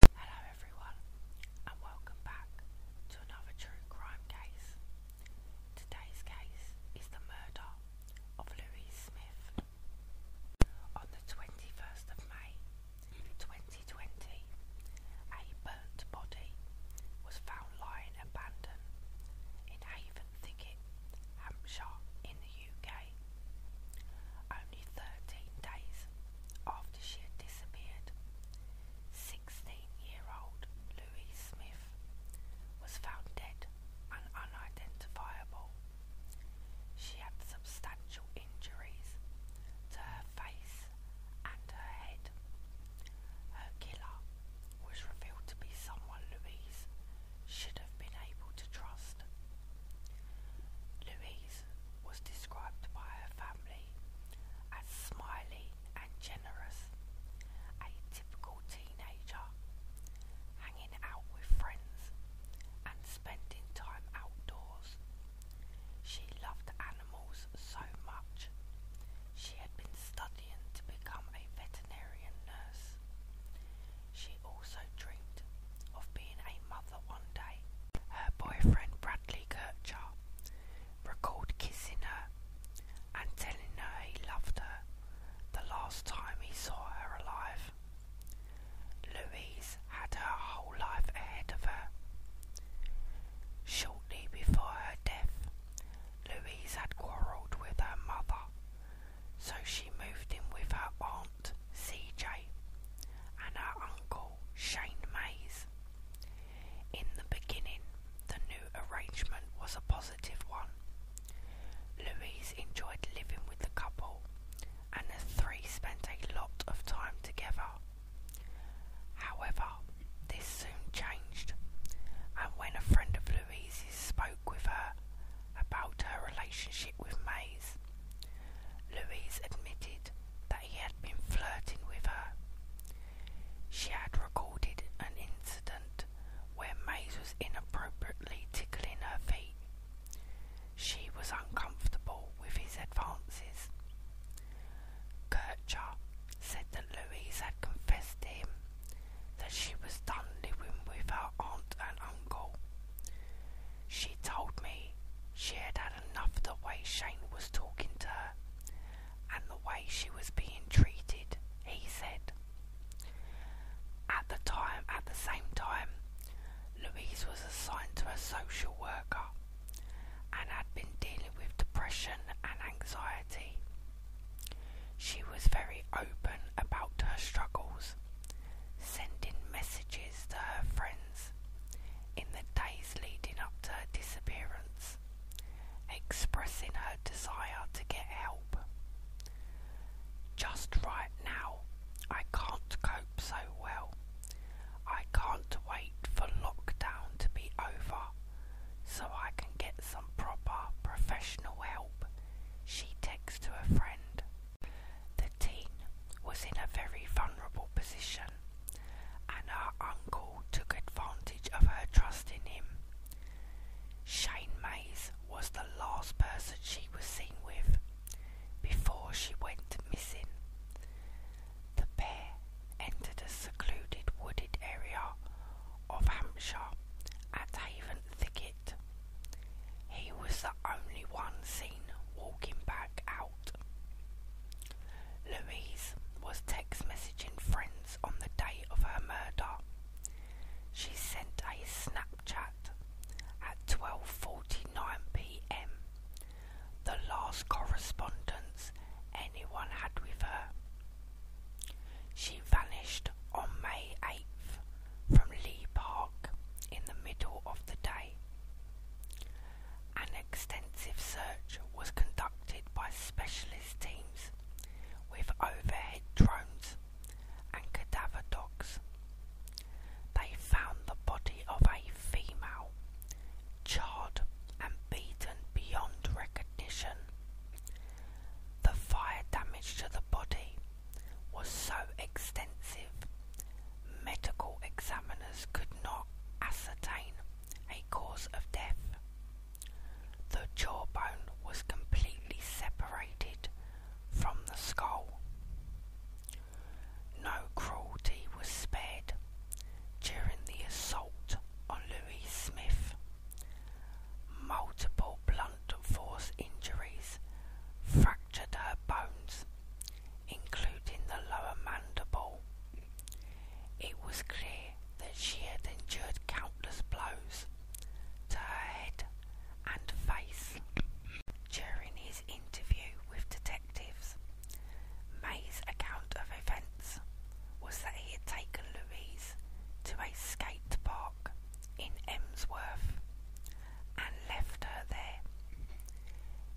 Hello everyone and welcome back to another true crime case. Today's case is the murder of Louise Smith. On the 21st of May 2020, a burnt body was found lying abandoned in Haven Thicket, Hampshire in the UK. 13 days after she had disappeared, 16-year-old Louise Smith was found dead and unidentifiable. She had substantial injuries to her face and her head. Her killer was revealed to be someone Louise should have been able to trust. Louise was described by her family as smiley and generous, a typical teenager, hanging out with friends and spending time outdoors. She loved animals so much. She had been studying to become a veterinarian nurse. She also dreamed of being a mother one day her boyfriend Bradley Kircher recalled kissing her and telling her he loved her the last time he saw her alive. Louise had her whole life ahead of her. Shortly before her death, Louise had quarrelled with her mother, so she moved in with her aunt C.J. and her uncle Shane Mays. In the beginning, the new arrangement was a positive one. Louise enjoyed living with the couple, and the three spent a lot of time together. However, this soon changed, and when a friend of Louise's spoke with her about her relationship with Mays, Louise admitted that he had been flirting with her. She had recorded an incident where Mays was inappropriately tickling her feet. She was uncomfortable with his advances. Kircher said that Louise had confessed to him that she was done living with her aunt and uncle. She told me she had had enough of the way Shane was talking to her and the way she was being treated, he said. At the time, at the same time, Louise was assigned to a social worker and had been dealing with depression and anxiety. She was very open about her struggles, sending messages to her friends in the days leading up to her disappearance, expressing her desire to get help. Just right now, I can't cope so well. I can't wait for lockdown to be over so I can get some proper professional help, she texts to a friend teen was in a very vulnerable position, and her uncle took advantage of her trust in him. Shane Mays was the last person she was seen with before she went missing. The pair entered a secluded wooded area of Hampshire at Haven Thicket. He was the only one seen walking back out Louise was text messaging friends on the day of her murder. She sent a Snapchat at 12:49 p.m. The last correspondence anyone had with her. She vanished on May 8th from Lee Park in the middle of the day. An extensive search was conducted by specialist teams with overhead drones and cadaver dogs. They found the body of a female, charred and beaten beyond recognition. The fire damage to the body was so extensive medical examiners could not ascertain a cause of death. The jawbone was completely separated from the skull. No cruelty was spared during the assault on Louise Smith. Multiple blunt force injuries fractured her bones including the lower mandible. It was clear that she had endured countless blows to her head and face. During his interview with detectives, May's account of events was that he had taken Louise to a skate park in Emsworth and left her there.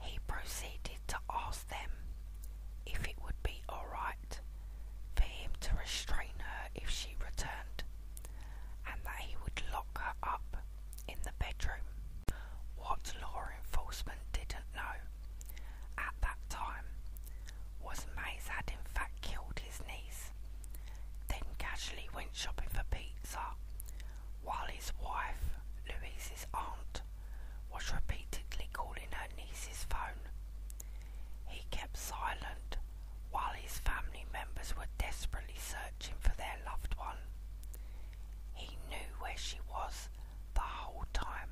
He proceeded to ask them if it would be alright for him to restrain her if she returned, and that he would lock her up in the bedroom. What law enforcement didn't know at that time was Mays had in fact killed his niece, then casually went shopping for pizza while his wife, Louise's aunt, was repeatedly calling her niece's phone. He kept silent while his family members were desperately searching for their loved one. He knew where she was the whole time.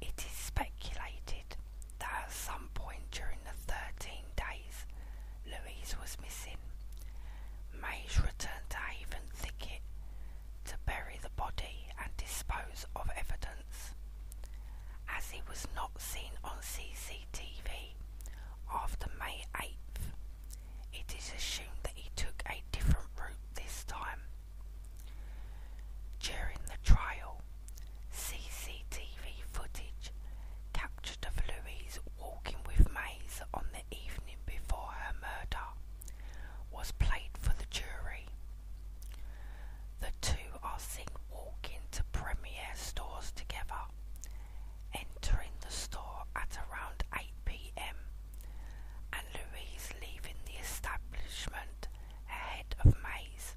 It is speculated that at some point during the 13 days Louise was missing, Mays returned to Haven Thicket to bury the body and dispose of evidence. As he was not seen on CCTV after May 8th, it is assumed that he took a different route this time. During the trial, CCTV footage captured of Louise walking with Mays on the evening before her murder was played for the jury. The two are seen walking to Premier stores together, entering the store at around 8 pm, and Louise leaving the establishment ahead of Mays,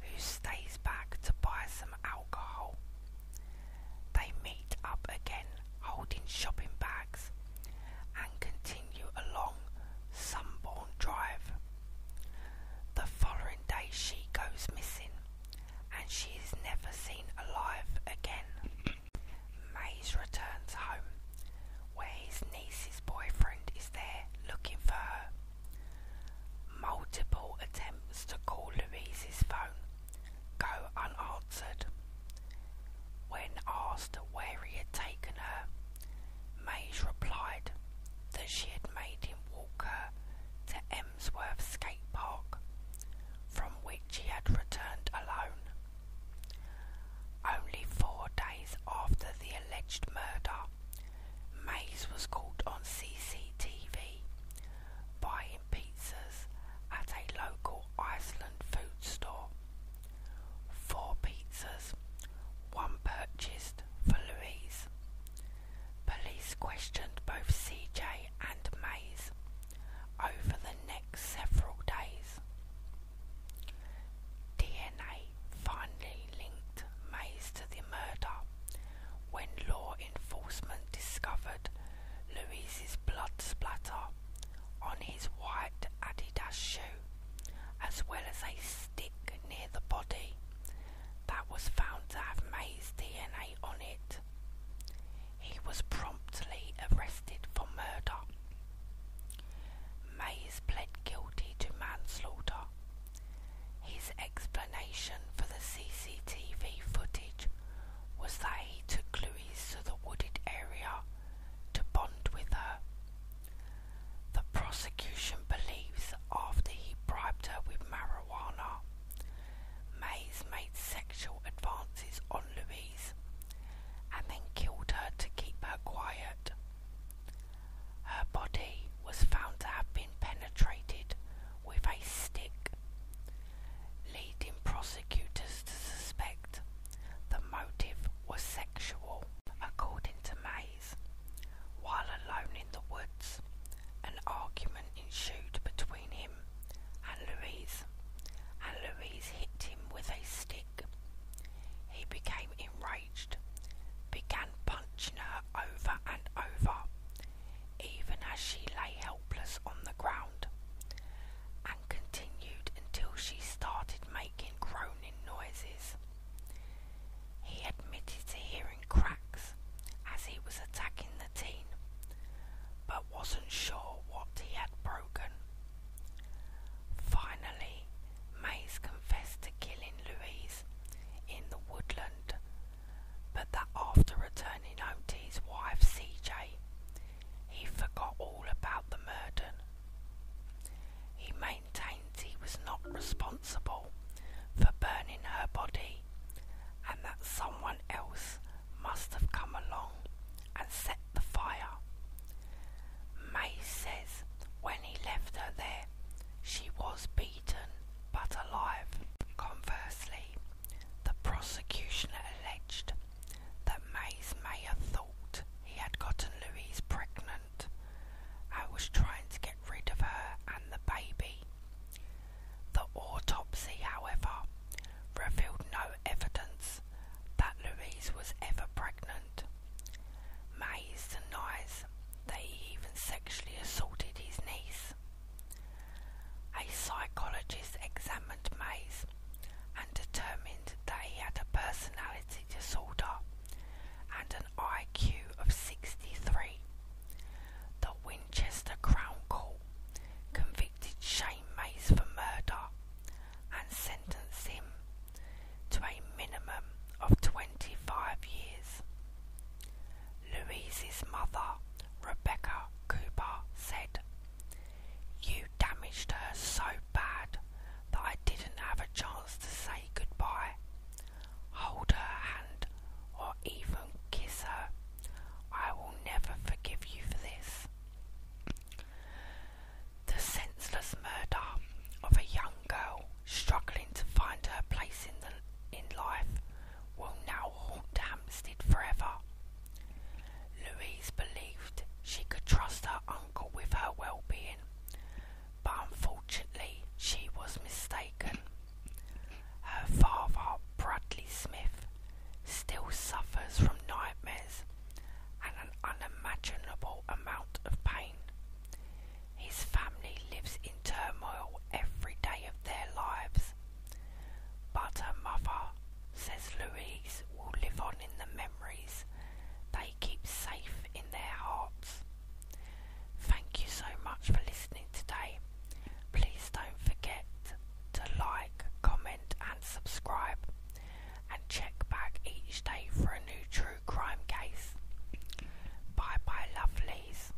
who stays back to buy some alcohol. They meet up again holding shopping bags and continue along Sunburn Drive. The following day, she goes missing and she is never seen alive again. Mays returns home where his niece's boyfriend is there looking for her. Multiple attempts to call Louise's phone go unanswered. When asked where he had taken her, Mays replied that she had made him walk her to Emsworth Skate Park, from which he had returned alone. Only four days after the alleged murder, Mays was caught on CCTV buying pizzas at a local Iceland food store. Four pizzas, one purchased for Louise. Police questioned both CJ and Mays over the next several days. DNA finally linked Mays to the murder when law enforcement discovered Louise's blood splatter on his white Adidas shoe, as well as a stick near the body that was found to have May's DNA on it. He was promptly arrested for murder. Mays pled guilty to manslaughter. His explanation for the CCTV footage was that he took Louise to the wooded area to bond with her. The prosecution believes that after he bribed her with marijuana, Mays made sexual advances on Louise and then killed her to keep her quiet. Her body was found to have been penetrated with a stick, leading prosecutors to suspect the motive was sexual. According to Mays, while alone in the woods, an argument ensued between him and Louise, and Louise hit him with a stick. He became enraged, began punching her over and over, even as she lay helpless on the ground, continued until she started making groaning noises. He admitted to hearing cracks as he was attacking the teen, but wasn't sure what he had broken. Finally, Mays confessed to killing Louise in the woodland, but that after returning home to his wife CJ, he forgot all about the murder. He maintained he was not responsible for burning her body and that someone else must have come along and set the fire. May says when he left her there, she was beaten but alive. Conversely, the prosecution alleged that May's mayor thought he had gotten Louise pregnant. I was trying to get rid of her and the baby. The autopsy, however, revealed no evidence that Louise was ever pregnant. Mays denies that he even sexually assaulted his niece. A psychologist examined Mays and determined that he had a personality disorder and an IQ of 63. The Winchester Crown Court convicted Shane Mays for murder and sentenced him to a minimum of 25 years. Louise's mother, Rebecca Cooper, said, you damaged her so bad that I didn't have a chance to say goodbye, hold her hand, or even kiss her. I will never forgive you for this. The senseless murder of a young girl struggling to find her place in the in life will now haunt Hampstead forever. Louise believed she could trust her uncle with her well-being, but unfortunately she was mistaken. Her father, Bradley Smith, still suffers from nightmares and an unimaginable amount of pain. His family lives in turmoil every day of their lives, but her mother, says Louise, will live on in the memories they keep safe in their hearts. Thank you so much for listening today. Please don't forget to like, comment, and subscribe, and check back each day for a new true crime case. Bye bye, lovelies.